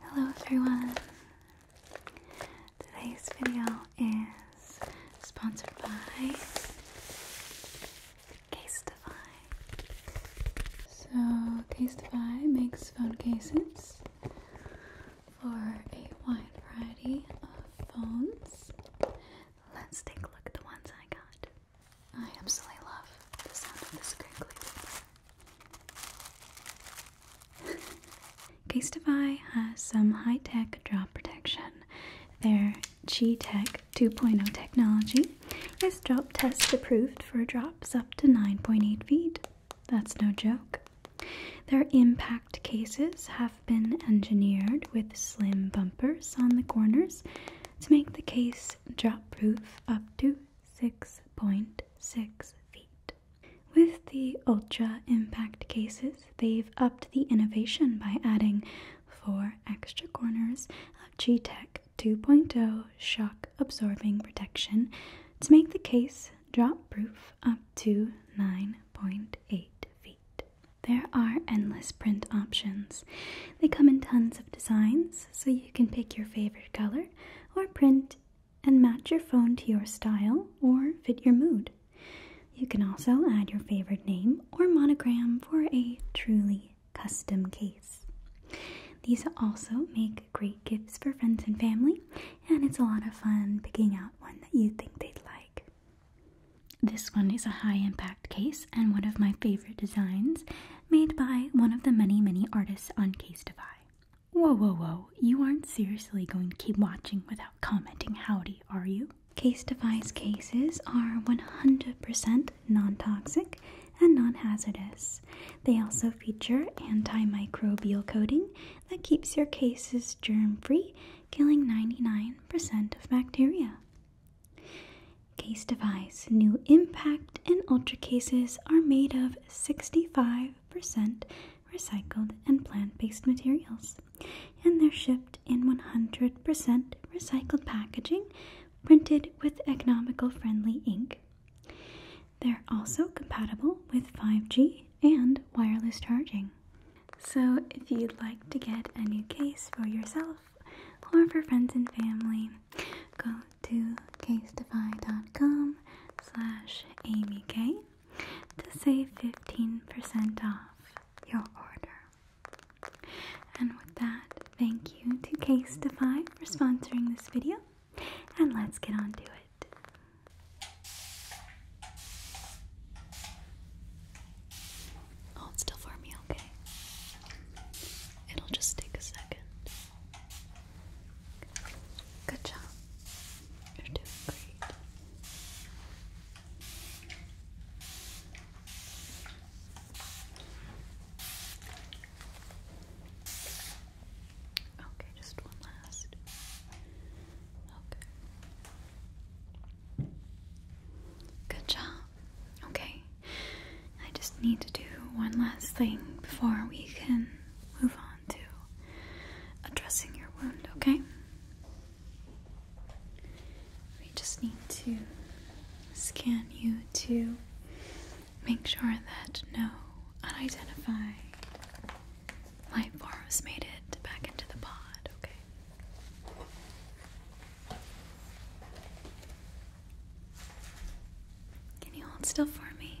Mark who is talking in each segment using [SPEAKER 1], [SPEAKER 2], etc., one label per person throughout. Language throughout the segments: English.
[SPEAKER 1] Hello everyone! Today's video is sponsored by Case Casetify. So, Case Casetify makes phone cases for a wide variety of phones. Let's take a look at the ones I got. I absolutely love the sound of this crinkly paper. Castify has some high-tech drop protection. Their G-Tech 2.0 technology is drop test approved for drops up to 9.8 feet. That's no joke. Their impact cases have been engineered with slim bumpers on the corners to make the case drop proof up to 6.6 feet. With the Ultra Impact cases, they've upped the innovation by adding four extra corners of G Tech 2.0 shock absorbing protection to make the case drop proof up to 9.8 feet. There are endless print options. They come in tons of designs, so you can pick your favorite color or print and match your phone to your style or fit your mood. You can also add your favorite name or monogram for a truly custom case. These also make great gifts for friends and family, and it's a lot of fun picking out one that you think they'd like. This one is a high impact case and one of my favorite designs made by one of the many, many artists on Case Defy. Whoa, whoa, whoa. You aren't seriously going to keep watching without commenting howdy, are you? Case device cases are 100% non toxic and non hazardous. They also feature antimicrobial coating that keeps your cases germ free, killing 99% of bacteria. Case device new impact and ultra cases are made of 65% recycled and plant based materials, and they're shipped in 100% recycled packaging printed with economical friendly ink. They're also compatible with 5G and wireless charging. So, if you'd like to get a new case for yourself or for friends and family, go to casedefycom slash amyk to save 15% off your order. And with that, thank you to Casetify for sponsoring this video, and let's get on to it. Hold still for me, okay? It'll just take a second. Good job. You're doing great. Okay, just one last. Okay. Good job. Okay. I just need to do one last thing before we can move on to addressing your wound, okay? We just need to scan you to make sure that no unidentified life forms made it back into the pod, okay? Can you hold still for me?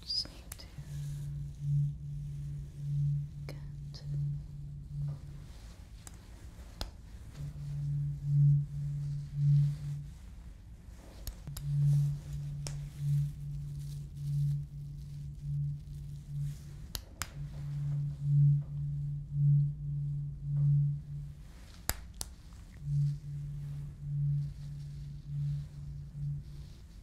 [SPEAKER 1] Just need to get Okay.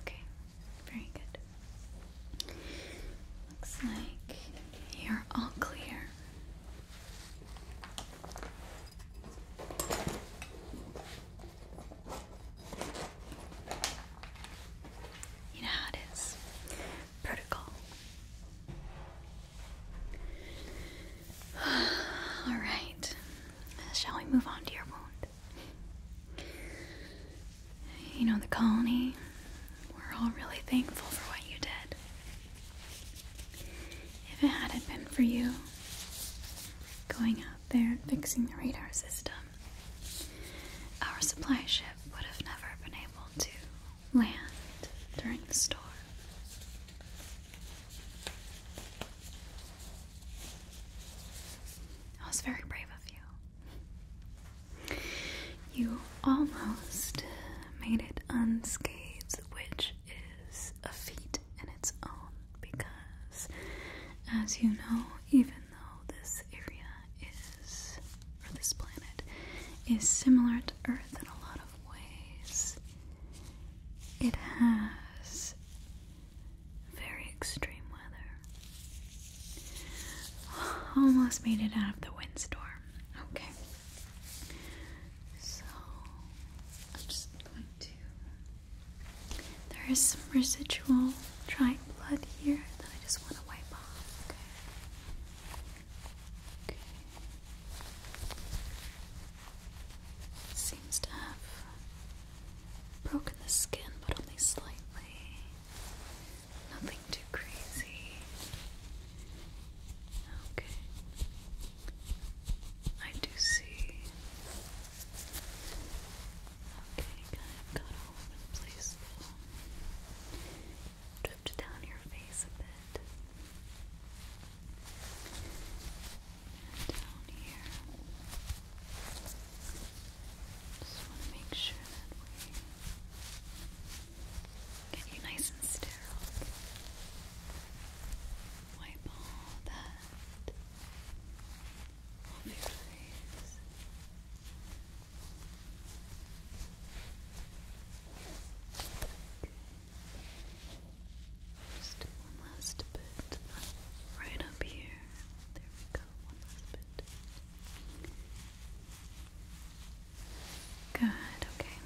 [SPEAKER 1] Okay, very good. Looks like you're all clear. You know how it is. Protocol. All right. Shall we move on to your wound? You know, the colony, we're all really thankful for what you did. If it hadn't been for you going out there and fixing the radar system, our supply ship would have never been able to land during the storm. That was very brave of you. You almost made it unscathed, which is a feat in its own because, as you know, even though this area is, or this planet, is similar to Earth in a lot of ways. It has very extreme weather. Almost made it out of the windstorm. Okay. So, I'm just going to. There is some residual dried blood here that I just want to wipe off. Seems to have broken the skin, but only slightly. Nothing too crazy. Okay. I do see. Okay, kind of got all over the place though drift down your face a bit. down here. Just want to make sure that we get you nice and sterile. Wipe all that off your face. Just one last bit right up here. There we go. One last bit. Good. Okay.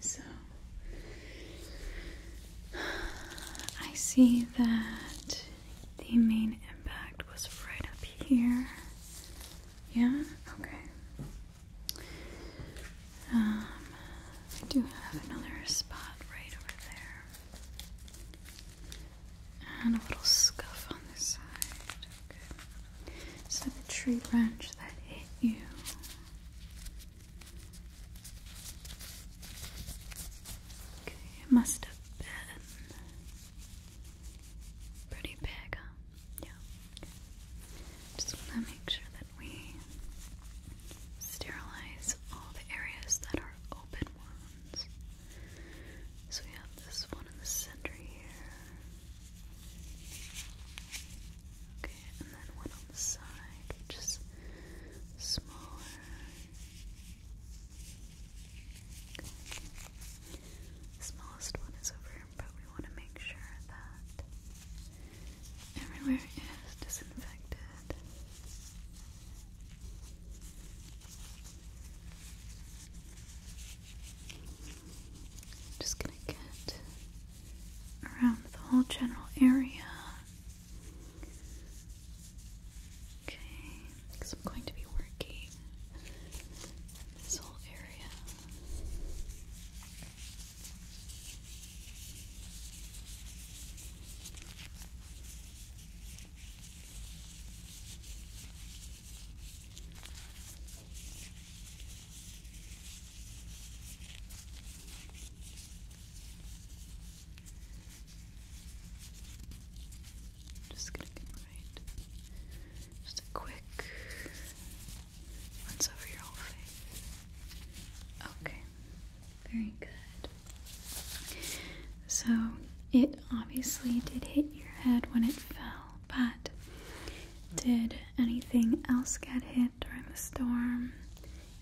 [SPEAKER 1] So I see that the main impact was right up here. Yeah? Okay. Um, I do have another spot right over there. And a little scuff on this side. Okay. the tree branch that hit you. Okay, it must have been pretty big, yeah. Just want to make sure that we sterilize all the areas that are open wounds. So we have this one in the center here. Okay, and then one on the side, just smaller. smallest one is over but we want to make sure that everywhere is disinfected. just going to get around the whole general area. Okay, because I'm going to be working this whole area. Just gonna be right. Just a quick once over your whole face. Okay. Very good. So, it obviously did hit your head when it fell, but did anything else get hit during the storm?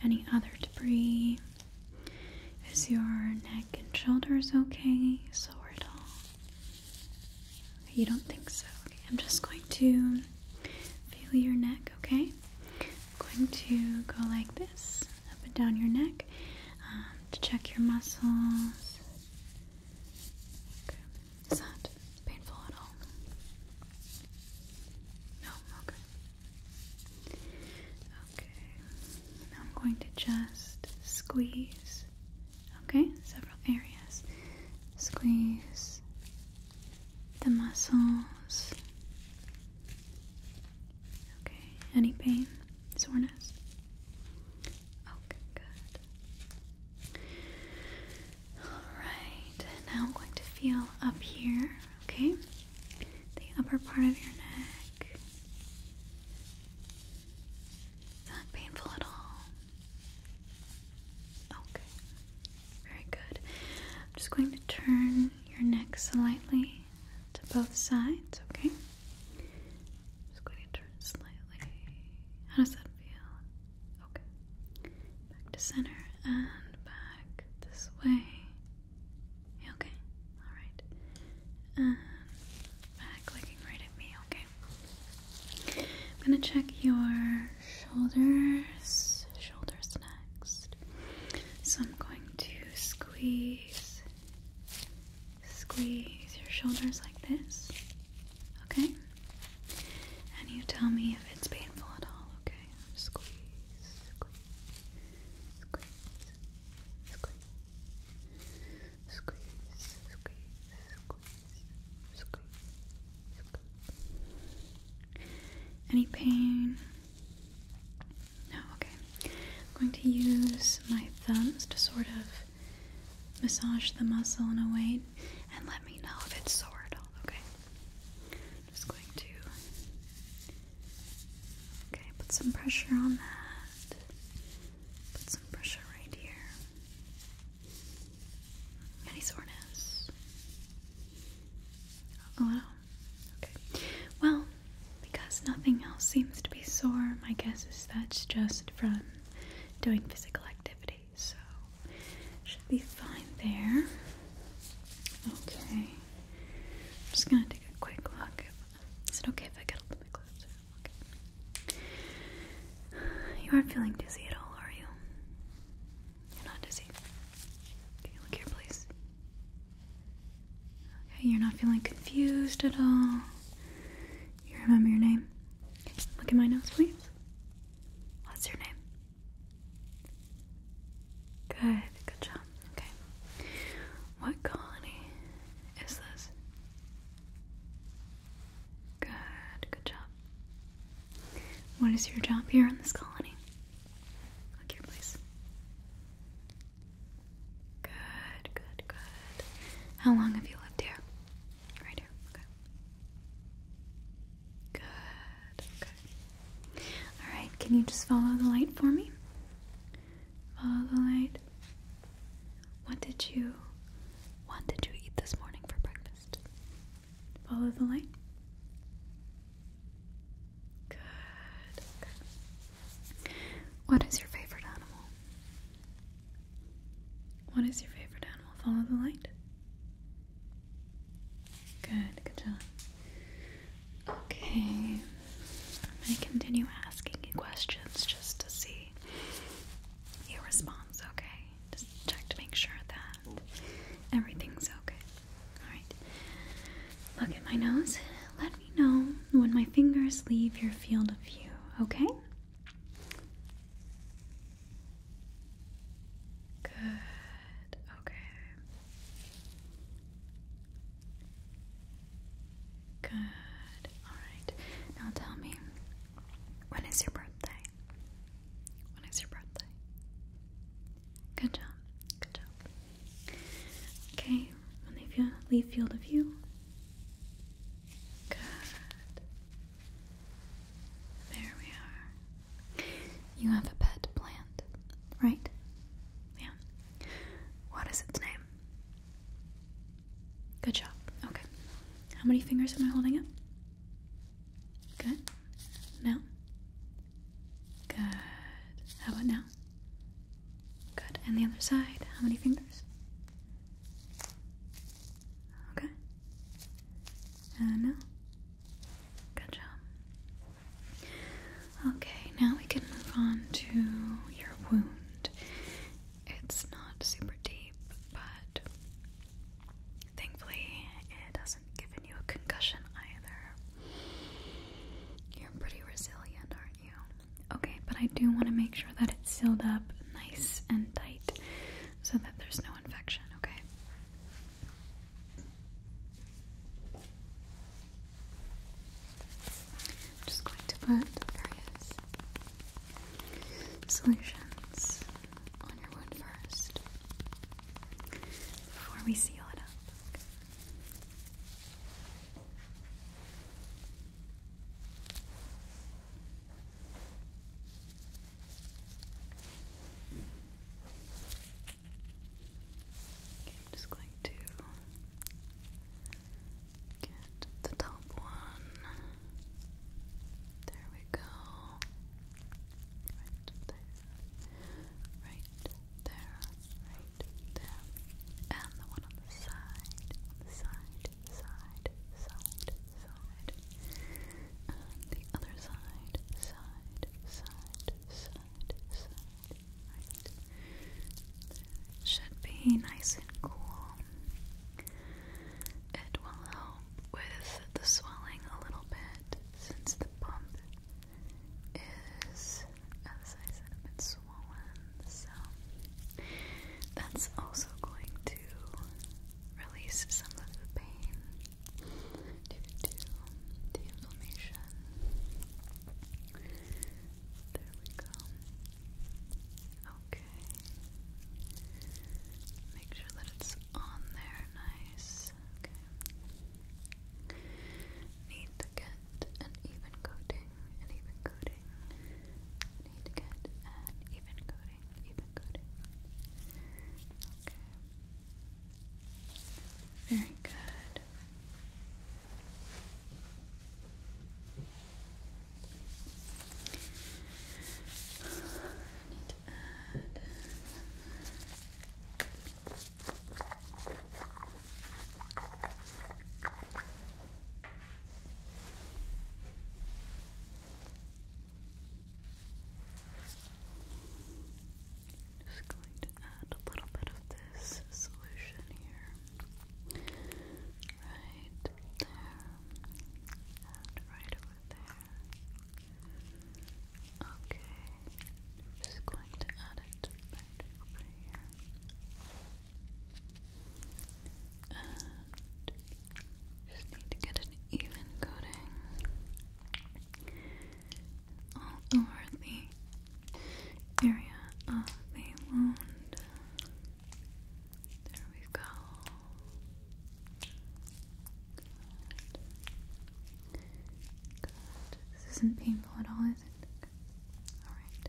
[SPEAKER 1] Any other debris? Is your neck and shoulders okay? Sore at all? You don't think so? I'm just going to feel your neck, okay? I'm going to go like this, up and down your neck um, to check your muscles. Okay. Is that painful at all? No? Okay. Okay. Now I'm going to just squeeze, okay? Several areas. Squeeze, the muscles. Okay, any pain, soreness? Okay, good. Alright, now I'm going to feel up here, okay? The upper part of your neck. not painful at all. Okay, very good. I'm just going to turn your neck slightly to both sides, okay? Just going to turn slightly. How does that feel? Okay. Back to center and back this way. Okay, alright. And back looking right at me, okay? I'm gonna check your shoulders, shoulders next. So I'm going to squeeze, squeeze your shoulders like this, okay? And you tell me if it's painful at all, okay? Squeeze, squeeze, squeeze, squeeze, squeeze, squeeze, any pain? No, okay. I'm going to use my thumbs to sort of massage the muscle in a way and let me know if it's sore okay? just going to Okay, put some pressure on that. Put some pressure right here. Any soreness? A oh, little? Okay. Well, because nothing else seems to be sore, my guess is that's just from doing physical activity. So, should be fine there. Okay. I'm just gonna take a quick look. Is it okay if I get a little bit closer? You aren't feeling dizzy at all, are you? You're not dizzy. Can you look here, please? Okay, you're not feeling confused at all. You remember your name? Look at my nose, please. What's your name? Good, good job. Okay. What colony is this? Good, good job. What is your job here in this colony? Look here, please. Good, good, good. How long have you lived here? Right here, okay. Good, okay. Alright, can you just follow the light for me? Follow the light. What did you what did you eat this morning for breakfast? Follow the light. Good. What is your favorite animal? What is your favorite animal? Follow the light. Good, good job. Okay. I'm going to continue asking you questions just to see your response, okay? Just check to make sure that everything's okay. Alright. Look at my nose. Let me know when my fingers leave your field of view, okay? Good. Okay. Good. Alright. Now tell me, when is your birthday? When is your birthday? Good job. Good job. Okay, leave field of view. Good. There we are. You have a pet plant, right? Yeah. What is its name? Good job. Okay. How many fingers am I holding up? Good. Now? Good. How about now? Good. And the other side, how many fingers? Okay. And now? Good job. Okay, now we can move on to your wound. It's not super deep, but thankfully it doesn't given you a concussion either. You're pretty resilient, aren't you? Okay, but I do want to make sure that it's sealed up nice and tight so that there's no infection, okay? I'm just going to put various solutions on your wound first before we seal it up. I'm just going to get the top one. There we go right there, right there, right there, and the one on the side, side, side, side, side, and the other side, side, side, side, side, right. Should be nice and cool. It will with the swelling a little bit since the bump is, as I said, a swollen. So that's also going to release some of the pain due to the inflammation. There we go. Okay. Make sure that it's on there nice. Need to get an even coating, an even coating. Need to get an even coating, even coating. Okay. Very good just going to add a little bit of this solution here. Right there. And right over there. Okay, i just going to add it right over here. And just need to get an even coating all over the area of the wound. There we go. This isn't painful at all, is it? Alright.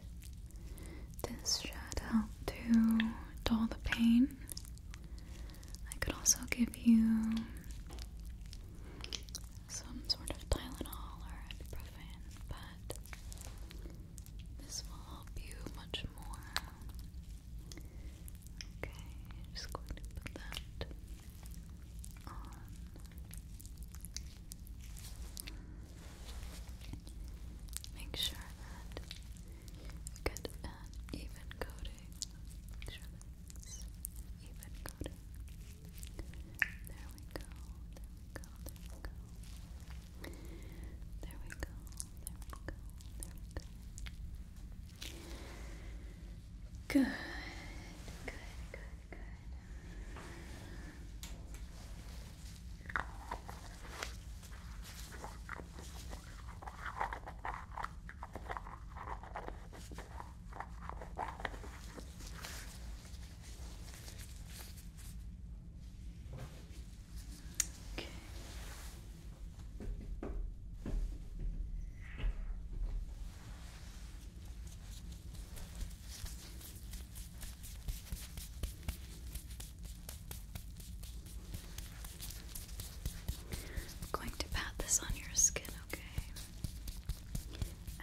[SPEAKER 1] This should help to dull the pain. I could also give you some sort of Tylenol or ibuprofen, but this will help you much more Okay, I'm just going to put that on. Make sure that you get an even coating. Make sure that it's even coating. There we go, there we go, there we go. There we go, there we go, Good, good, good, good. Okay. I'm going to pat this on your skin, okay?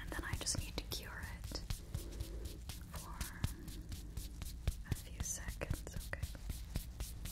[SPEAKER 1] And then I just need to cure it for a few seconds, okay?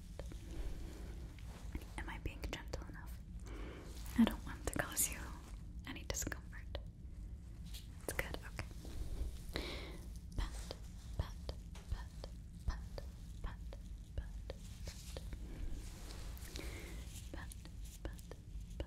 [SPEAKER 1] Am I being gentle enough? I don't want to cause you any discomfort. It's good, okay. Pat, pat, pat, pat, pat, pat, pat. Pat, pat, pat, pat. Pat, pat, pat, pat, pat.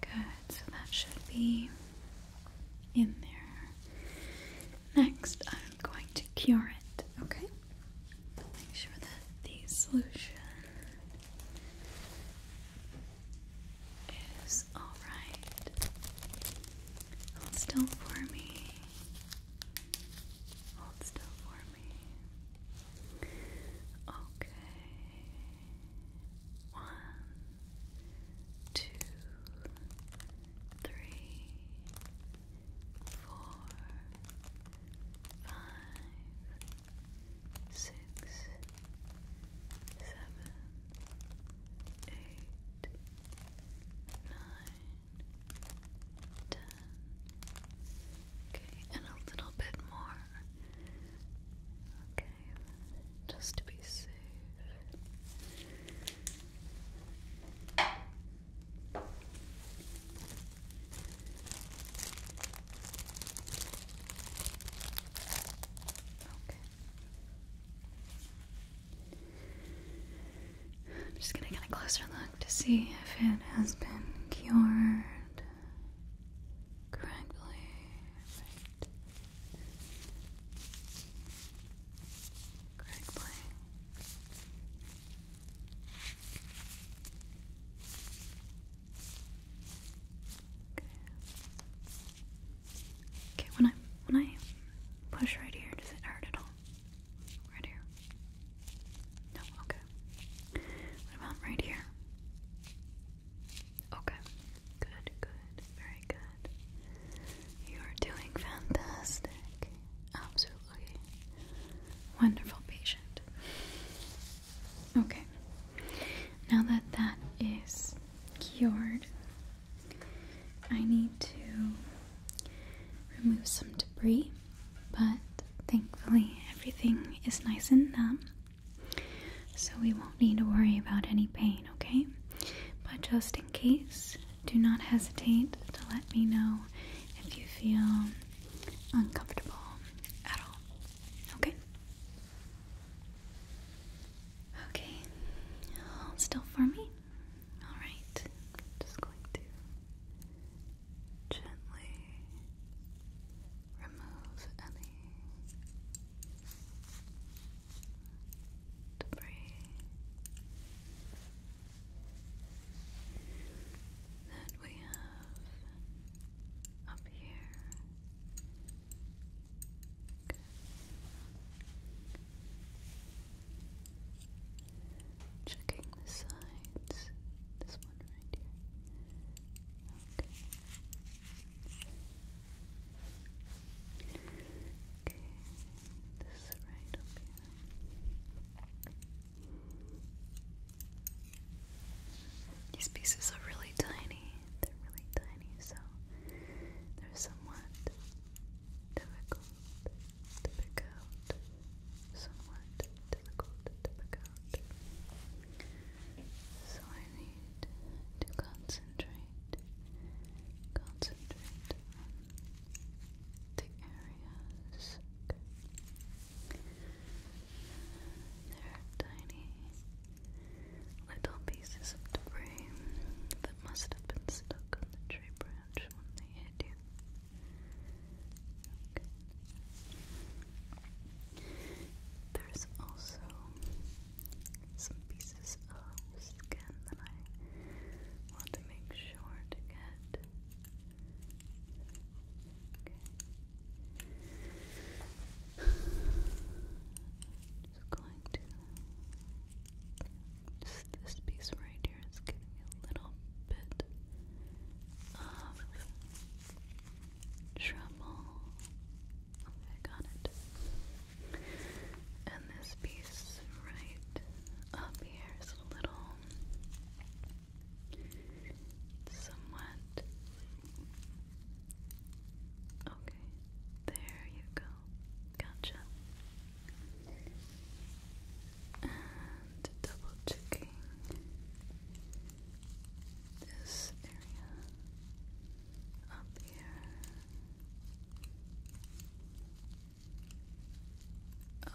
[SPEAKER 1] Good, so that should be in there. Next, I'm going to cure it, okay? Make sure that the solution is alright. Hold still for me. Hold still for me. Okay. One, two, three, four, five, six, seven, eight, nine, ten. Okay, and a little bit more. Okay, just to be safe. Okay. I'm just gonna get a closer look to see if it has been cured correctly. Okay. Okay. When I when I push right here, does it hurt at all? Right here. No. Okay. What about right here? Okay. Good, good. Very good. You're doing fantastic. Absolutely. Wonderful patient. Okay. Now that that is cured, I need to remove some debris, but thankfully everything is nice and numb. So we won't need to worry about any pain, okay? But just in case, do not hesitate to let me know if you feel uncomfortable at all, okay? Okay, hold still for me. Alright, just going to gently remove any to breathe. That we have up here. Checking the sides. This one right here. Okay. Okay, this is right up These pieces are really tiny. They're really tiny, so they're somewhat difficult to Somewhat difficult to so I need to concentrate, concentrate on the areas. Okay. are tiny little pieces of debris that must have been stuck on the tree branch when they hit you. There's also some pieces of skin that I want to make sure to get. Okay. Just going to. Just this piece right here is giving a little bit of trouble. Okay, got it. And this piece right up here is a little somewhat okay. There you go. Gotcha. And double checking this area up here.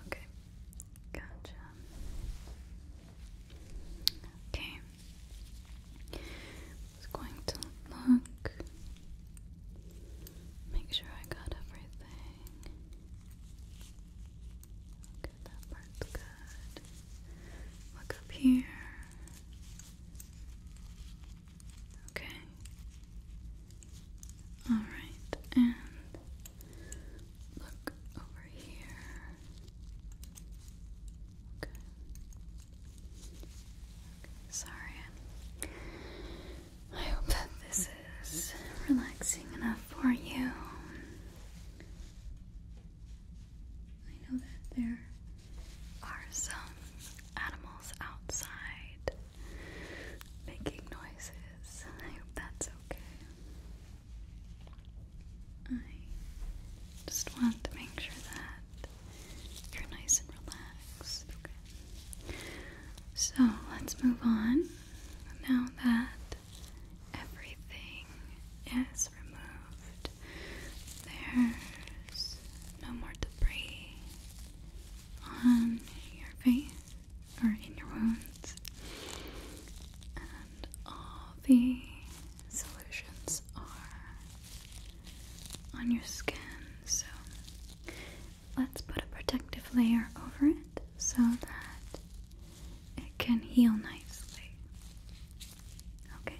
[SPEAKER 1] Okay, gotcha. Okay, just going to look, make sure I got everything. Okay, that part's good. Look up here. Okay. All right, and look over here. Okay. sorry. I hope that this is relaxing enough for you. I know that there are some animals outside making noises. I hope that's okay. I just want to make sure that you're nice and relaxed. So let's move on now that everything is removed there's no more debris on your face or in your wounds, and all the solutions are on your skin. So let's put a protective layer over it so that it can heal nicely. Okay.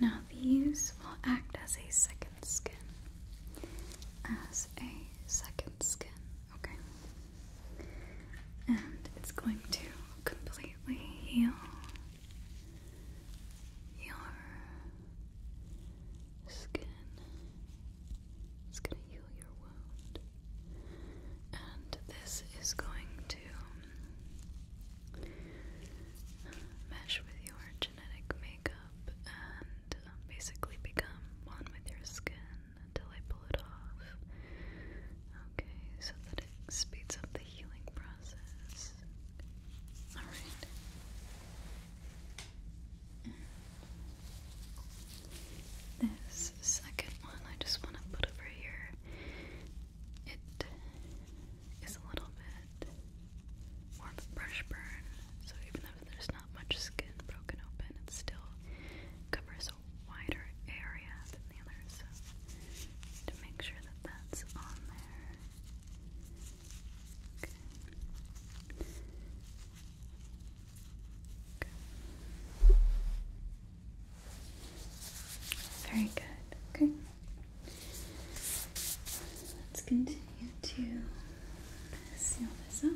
[SPEAKER 1] Now, these will act as a second skin. As a second skin, okay? And it's going to completely heal your skin. It's going to heal your wound. And this is going to mesh with your genetic makeup and um, basically become one with your skin until I pull it off. Okay, so that it speeds up the healing process. Alright. This second one I just want to put over here it is a little bit more of a brush burn, so even though there's not much skin broken open, it still covers a wider area than the other, so to make sure that that's on there. Okay. Okay. Very good. Okay. Let's continue to seal this up.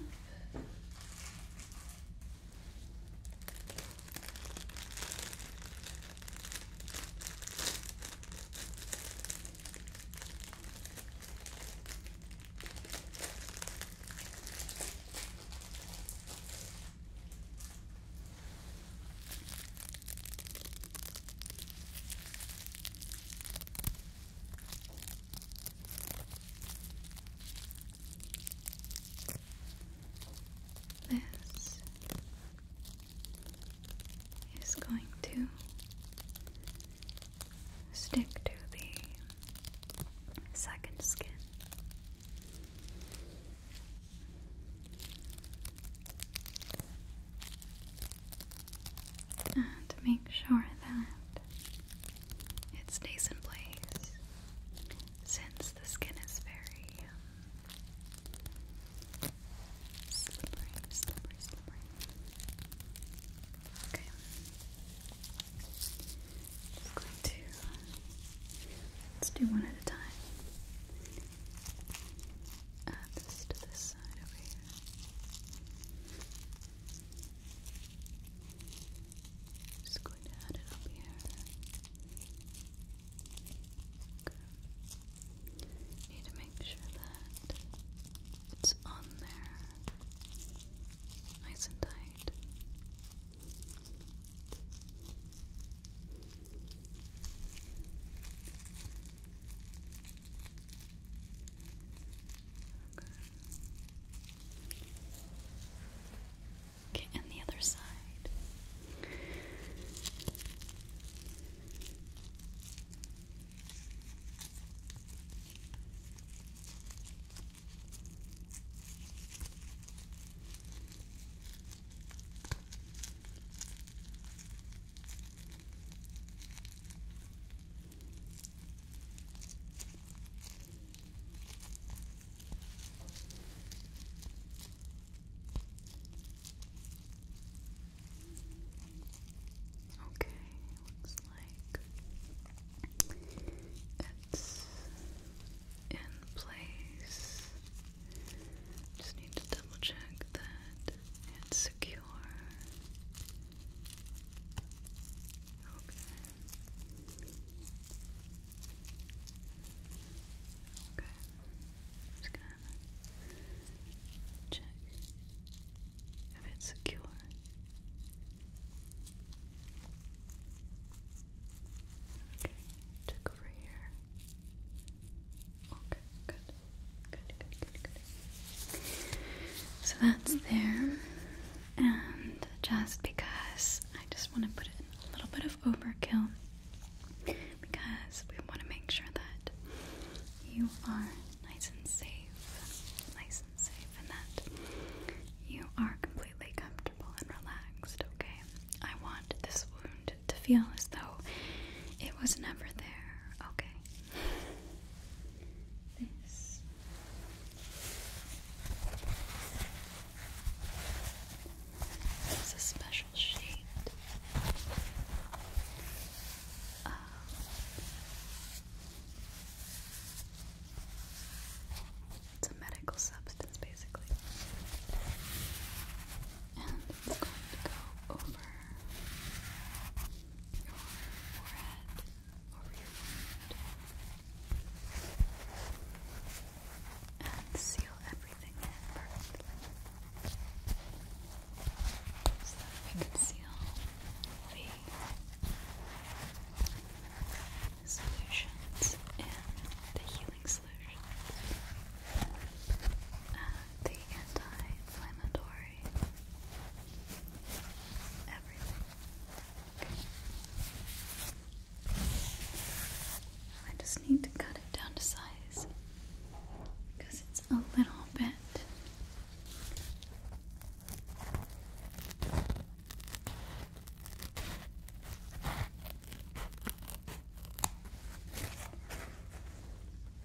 [SPEAKER 1] This is going to stick to the second skin and make sure that it stays in place since the skin is very um, slippery, slippery, slippery. Okay. Just going to let's do one at a time. Add this to this just going to add it up here. Need to make sure that it's on there, nice and tight. Okay, and the other side. Okay. Okay, looks like it's in place. Just need to double check that it's secure. Okay. Okay. Just gonna check if it's secure. Okay, check over here. So that's there. And just because I just want to put in a little bit of overkill because we want to make sure that you are nice and safe. Nice and safe, and that you are completely comfortable and relaxed, okay? I want this wound to feel as though it was never there. Okay. This. It's a special shade uh, it's a medical substance basically. And it's going to go over your forehead, and seal everything in perfectly so we can seal the solutions in the healing solutions. the anti-inflammatory Everything. I just need to cut it down to size because it's a little bit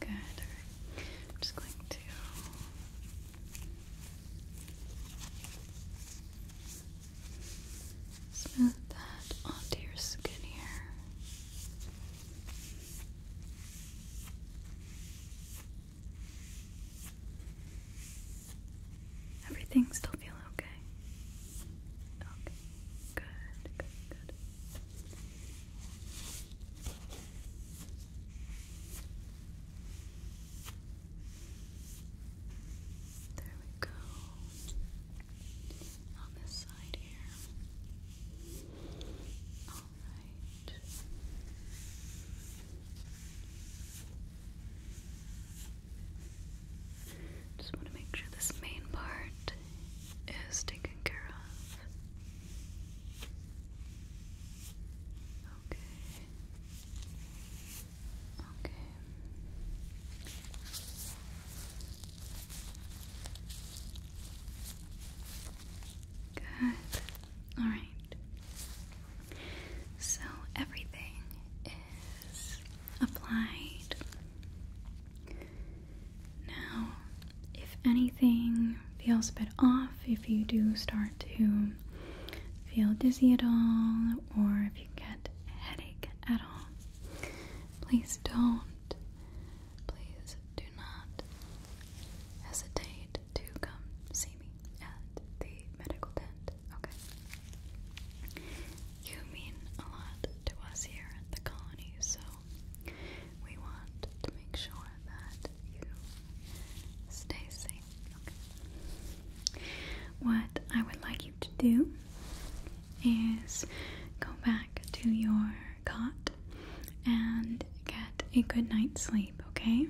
[SPEAKER 1] Good. right. I'm just going to smooth that onto your skin here. Everything still feeling okay? Okay. Good, good, good. There we go. On this side here. All right. Just want to make sure this main part is taken care of. Okay. Okay. Good. All right. So everything is applied. Now, if anything feels a bit off, if you do start to feel dizzy at all, or if you get a headache at all, please don't. Please do not hesitate to come see me at the medical tent, okay? You mean a lot to us here at the colony, so we want to make sure that you stay safe. What I would like you to do is go back to your cot and get a good night's sleep, okay?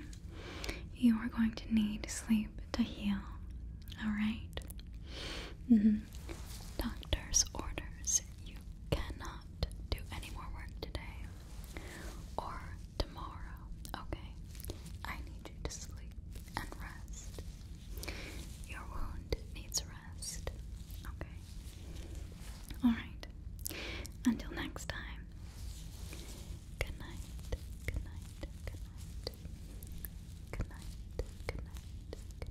[SPEAKER 1] You are going to need sleep to heal, alright? Mm-hmm. Doctor's orders you cannot do any more work today or tomorrow, okay? I need you to sleep and rest. Your wound needs rest, okay? Alright, until next time, good night, good night, good night, good night, good night. Good night.